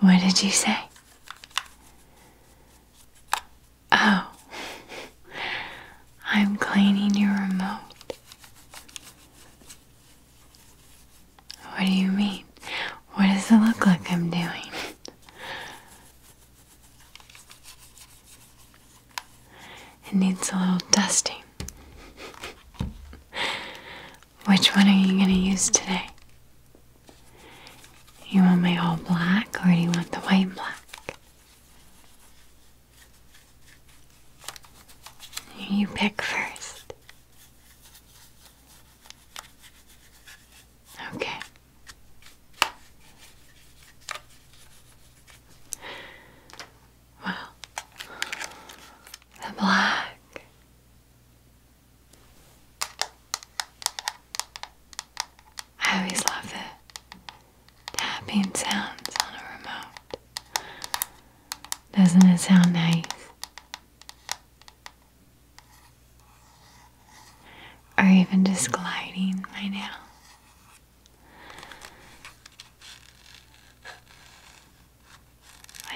What did you say? Oh, I'm cleaning your remote. What do you mean? What does it look like I'm doing? It needs a little dusting. Which one are you going to use today? You want my all black or do you want the white black? You pick first. Okay. Well, the black. I always love the tapping sounds on a remote. Doesn't it sound nice? Or even just gliding my nail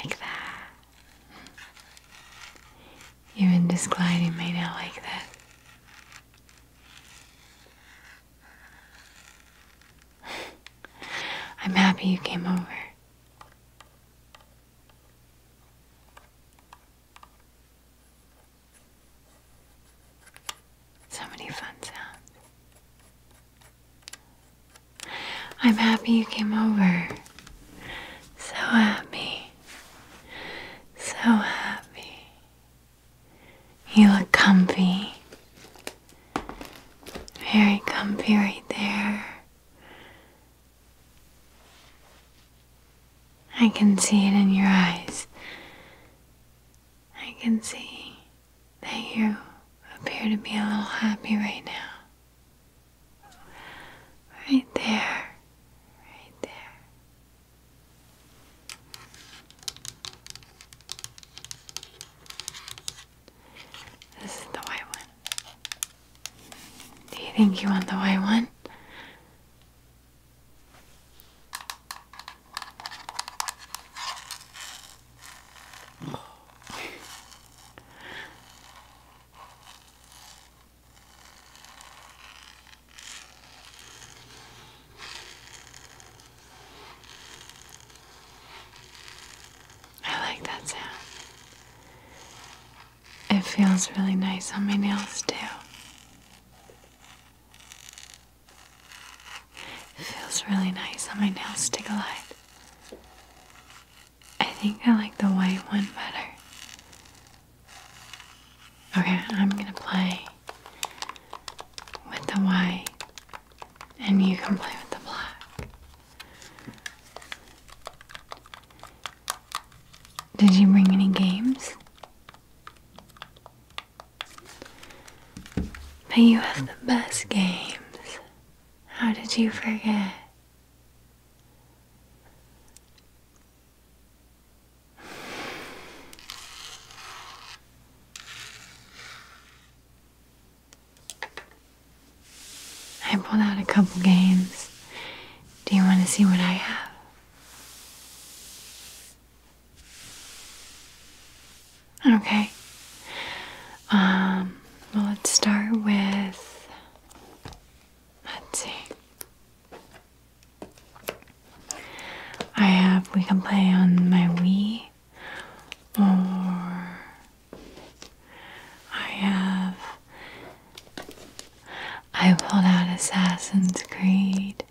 like that. Even just gliding made out like that. I'm happy you came over. So many fun sounds. I'm happy you came over. So happy. So happy. You look comfy. Very comfy right there. I can see it in your eyes. I can see that you appear to be a little happy right now. Right there. Right there. This the white one. Do you think you want the white one? I like that sound. It feels really nice on my nails, too feels really nice on my nails stick a glide. I think I like the white one better. Okay, I'm gonna play with the white, and you can play with the black. Did you bring any games? But you have the best games. How did you forget? I pulled out a couple games. Do you want to see what I have? Okay. Um, let's start with. Let's see. I have. We can play on my Wii, or I have. I pulled out Assassin's Creed.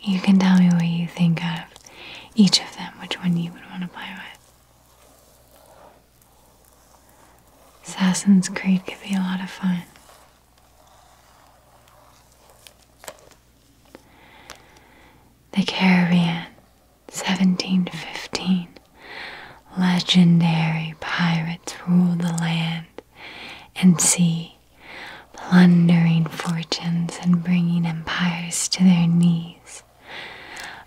You can tell me what you think of each of them, which one you would want to play with. Assassin's Creed could be a lot of fun. The Caribbean, 1715. Legendary pirates rule the land and sea plundering fortunes and bringing empires to their knees.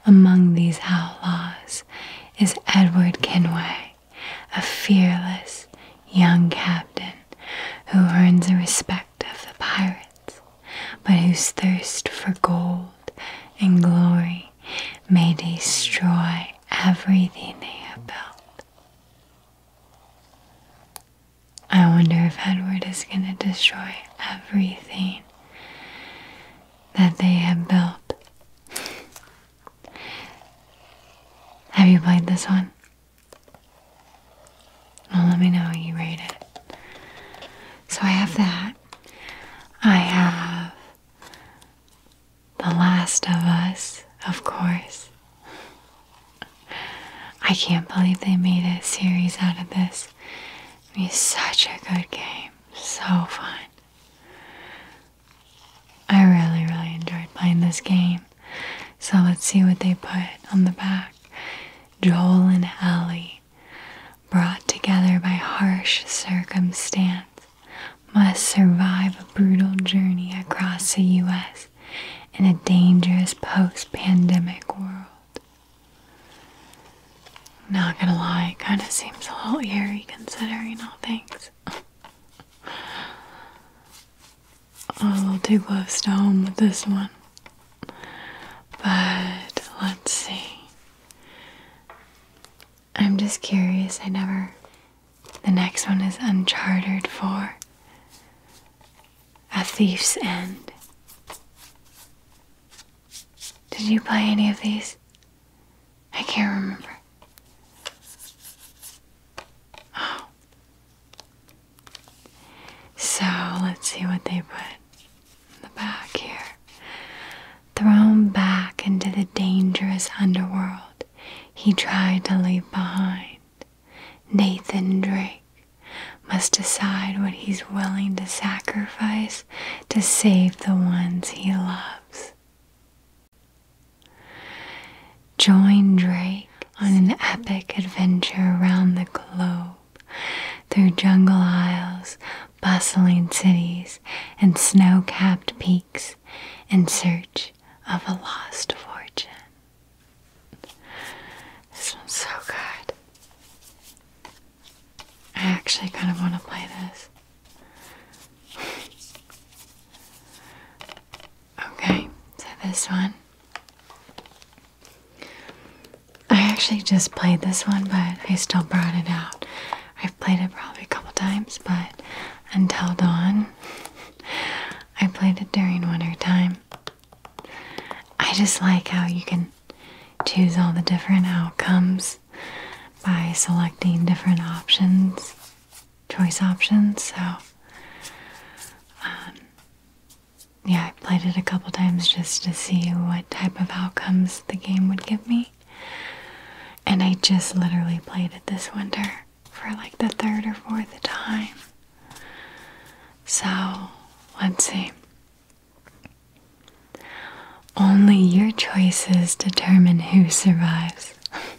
Among these outlaws is Edward Kenway, a fearless young captain who earns the respect of the pirates, but whose thirst for gold and glory may destroy everything they have built. I wonder if Edward is going to destroy everything that they have built. have you played this one? Well, let me know how you rate it. So I have that. I have the Last of Us, of course. I can't believe they made a series out of this. It was such a good game. So fun. I really, really enjoyed playing this game. So let's see what they put on the back. Joel and Ellie, brought together by harsh circumstance, must survive a brutal journey across the US in a dangerous post pandemic world. Not gonna lie, it kind of seems a little eerie considering all things. a little too close to home with this one. But let's see. I'm just curious. I never the next one is unchartered for, A Thief's End. Did you play any of these? I can't remember. Oh. So let's see what they put in the back here. Thrown back into the dangerous underworld, he tried to leave behind. Nathan Drake must decide what he's willing to sacrifice to save the ones he loves. Join Drake on an epic adventure around the globe through jungle aisles, bustling cities, and snow capped peaks in search of a lost fortune. This one's so good. I actually kind of want to play this. okay, so this one. I actually just played this one, but I still brought it out. I've played it probably a couple times, but Until Dawn I played it during winter time. I just like how you can choose all the different outcomes by selecting different options, choice options. So, um, yeah, I played it a couple times just to see what type of outcomes the game would give me. And I just literally played it this winter for like the third or fourth time. So, let's see. Only your choices determine who survives.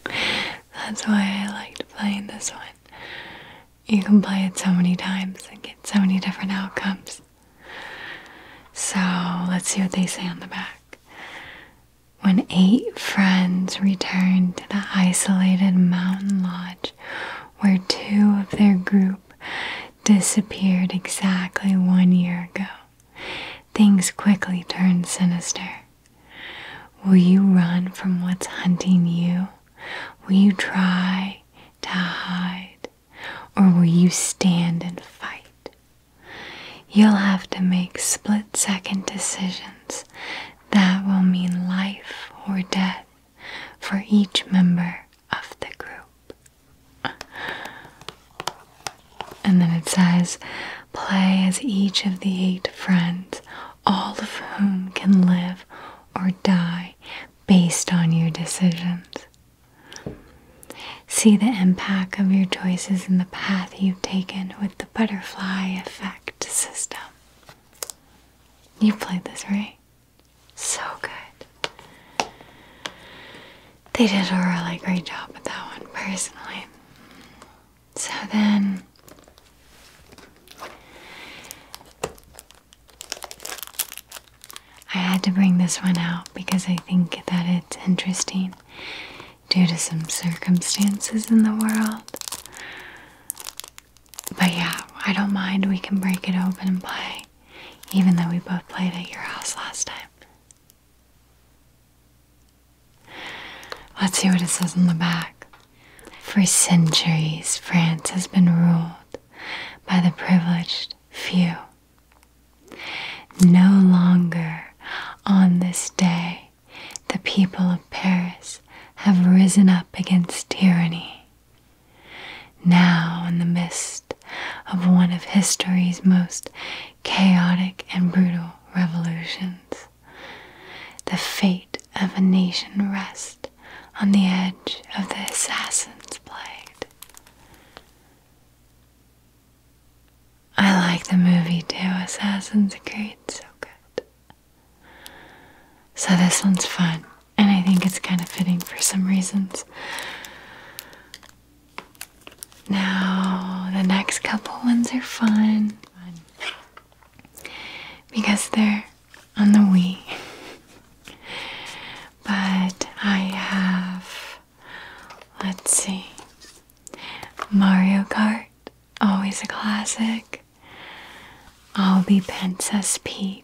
That's why I liked playing this one. You can play it so many times and get so many different outcomes. So let's see what they say on the back. When eight friends returned to the isolated mountain lodge where two of their group disappeared exactly one year ago, things quickly turn sinister. Will you run from what's hunting you? Will you try to hide? Or will you stand and fight? You'll have to make split second decisions that will mean life or death for each member of the group. And then it says, play as each of the eight friends, all of whom can live or die based on your decisions. See the impact of your choices in the past path you've taken with the butterfly effect system. You played this, right? So good. They did a really great job with that one, personally. So then. I had to bring this one out because I think that it's interesting due to some circumstances in the world. But yeah, I don't mind. We can break it open and play, even though we both played at your house last time. Let's see what it says on the back. For centuries, France has been ruled by the privileged few. No longer on this day the people of Paris have risen up against tyranny. Now, in the midst of one of history's most chaotic and brutal revolutions, the fate of a nation rests on the edge of the assassin's blade. I like the movie too, Assassin's Creed, so good. So this one's fun, and I think it's kind of fitting for some reasons. Now, the next couple ones are fun because they're on the Wii. But I have Let's see. Mario Kart, always a classic. I'll be Princess Peach,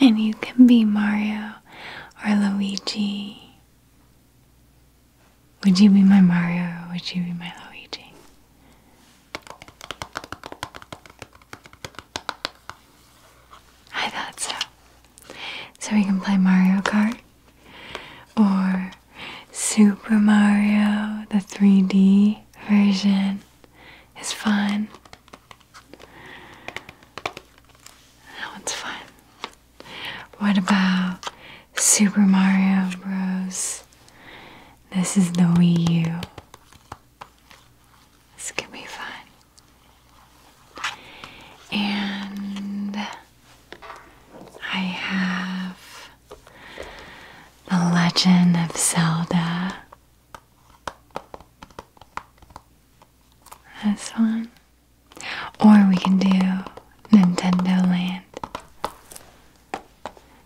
and you can be Mario or Luigi. Would you be my Mario or would you be my Luigi? I thought so. So we can play Mario Kart or Super Mario, the 3D version, is fun. That one's fun. What about Super Mario Bros? This is the Wii U. This could be fun. And I have The Legend of Zelda. That's one. Or we can do Nintendo Land.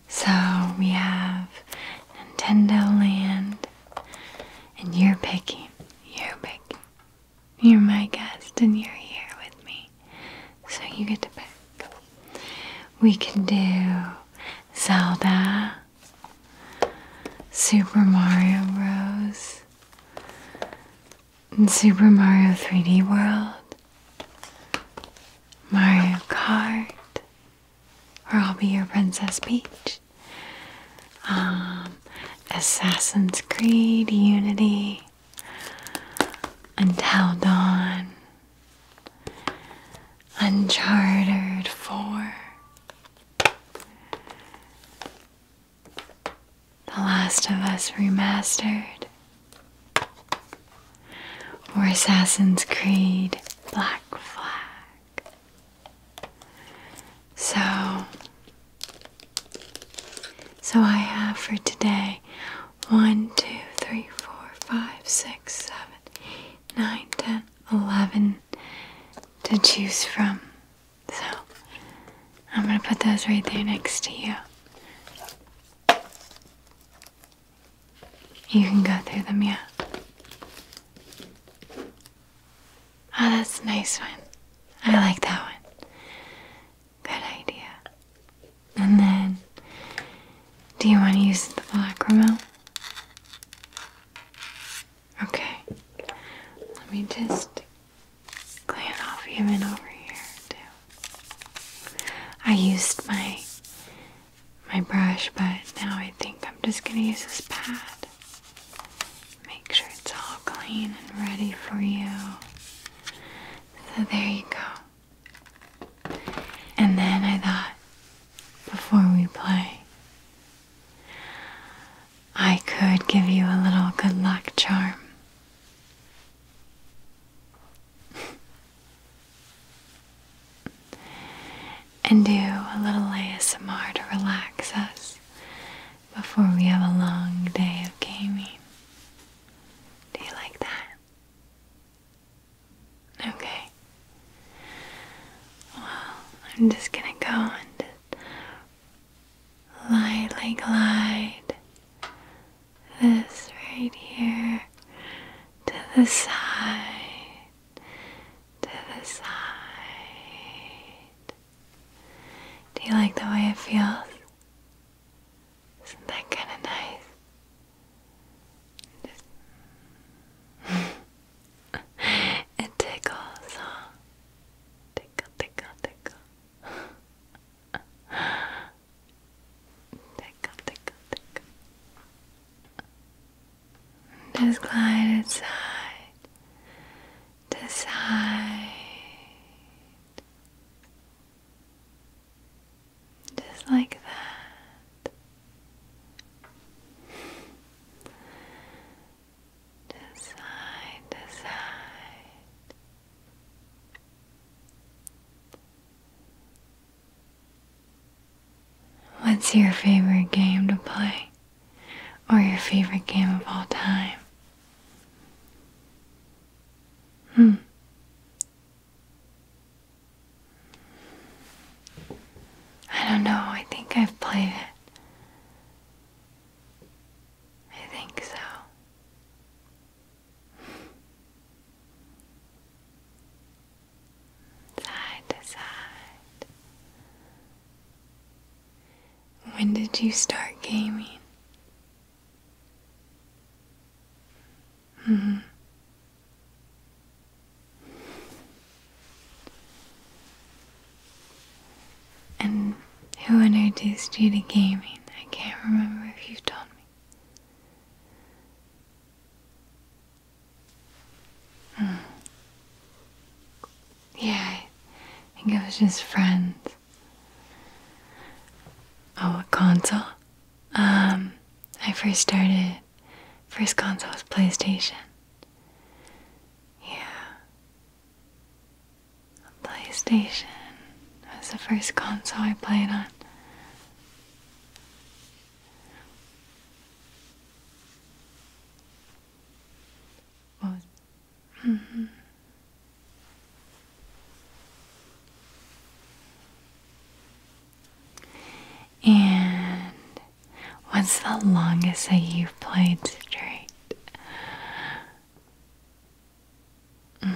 So we have Nintendo Land, and you're picking. You're picking. You're my guest and you're here with me. So you get to pick. We can do Zelda, Super Mario Bros., and Super Mario 3D World, Mario Kart, or I'll be your Princess Peach. Um, Assassin's Creed, Unity, until dawn. Uncharted 4. The Last of Us Remastered. Or Assassin's Creed Black Flag. So, so I have for today 1, 2, 3, 4, 5, 6, 7, 9, 10, 11 to choose from. So I'm going to put those right there next to you. You can go through them, yeah. Oh, that's a nice one. I like that one. Good idea. And then, do you want to use the black remote? Okay. Let me just clean off even over here too. I used my my brush, but now I think I'm just gonna use this pad. Make sure it's all clean and ready for you. So there you go. And then I thought, before we play, I could give you a little good luck charm. and do a little samar to relax us before we have a long day of gaming. Do you like that? Okay. Well, I'm just gonna go and lightly glide this right here to the side, to the side. Do you like the way it feels? Isn't that kind of nice? Just it tickles, huh? Tickle, tickle, tickle. tickle, tickle, tickle. Just glide inside decide just like that decide decide What's your favorite game to play? or your favorite game of all time? Hmm. I don't know. I think I've played it. I think so. Side to side. When did you start gaming? hmm And who introduced you to gaming? I can't remember if you've told me. Mm. Yeah, I think it was just friends. Oh, console? Um, I first started, first console was PlayStation. Yeah. PlayStation was the first console I played on. What Mm-hmm. And what's the longest that you've played straight? Mm.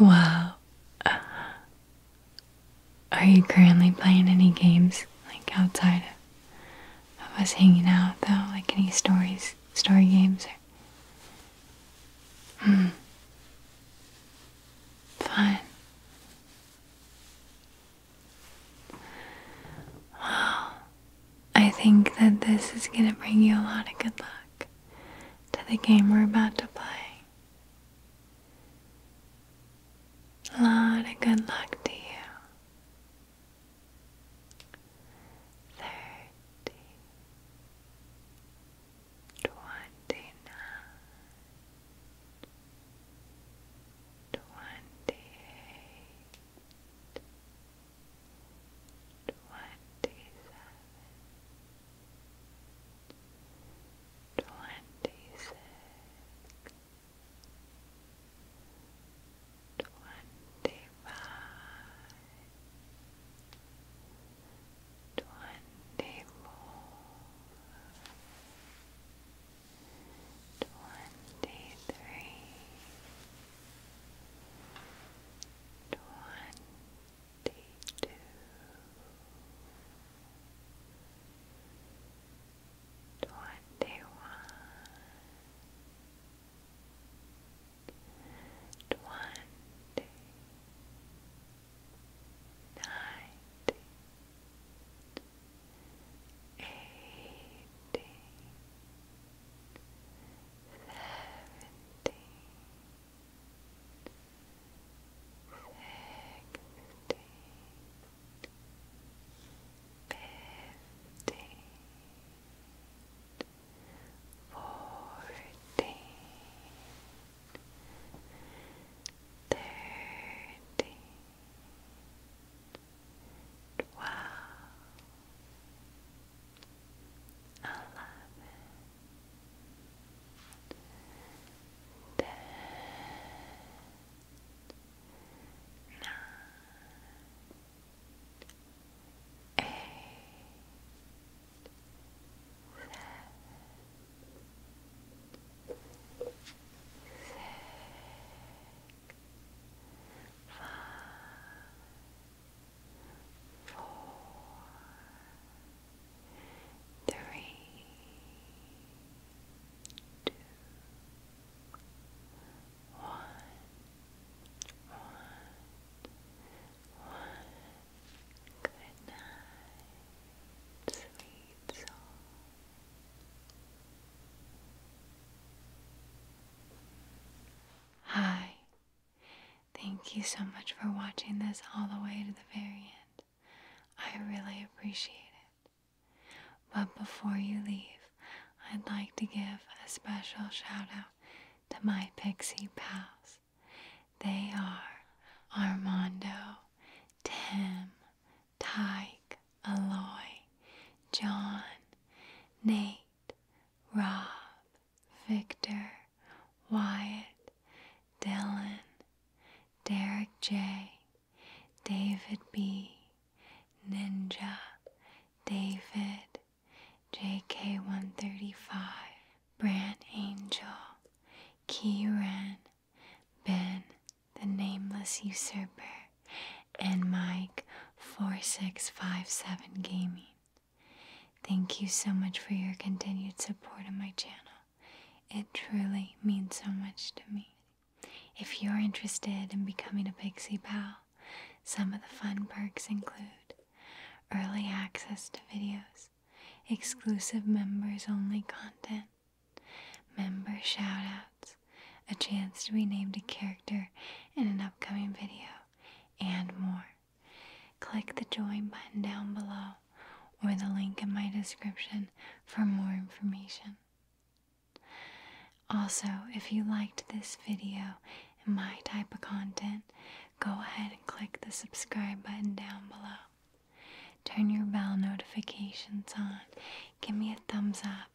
Wow. Uh, are you currently playing any games like outside of us hanging out though? Like any stories, story games? Hmm. Fun. Well, I think that this is gonna bring you a lot of good luck to the game we're about to play. A lot of good luck to you thirty, twenty nine, twenty eight, twenty seven, twenty six twenty-five, twenty-four, twenty-three, twenty-two Twenty-one, twenty one, twenty, ninety, eighty, seventy, sixty. 55 fifteen, fourteen, thirteen, twelve, eleven, ten. Nine, nine, eight, seven, six, five, four, three, two, one, one, one. Good night, sweet soul. Hi. Thank you so much for watching this all the way to the very end. I really appreciate it. But before you leave, I'd like to give a special shout out to my pixie pals. They are Armando, Tim, Tyke, Aloy, John, Nate, Rob, Victor, Wyatt, Dylan, Derek J, David B, Ninja, David, JK135, Brand Angel, Kieran, Ben, the Nameless Usurper, and Mike4657 Gaming. Thank you so much for your continued support of my channel. It truly means so much to me. If you're interested in becoming a Pixie Pal, some of the fun perks include early access to videos, exclusive members only content, member shoutouts, a chance to be named a character in an upcoming video, and more. Click the join button down below or the link in my description for more information. Also, if you liked this video and my type of content, go ahead and click the subscribe button down below. Turn your bell notifications on, give me a thumbs up,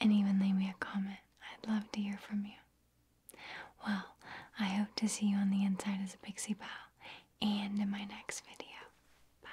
and even leave me a comment. I'd love to hear from you. Well, I hope to see you on the inside as a pixie pal and in my next video. Bye.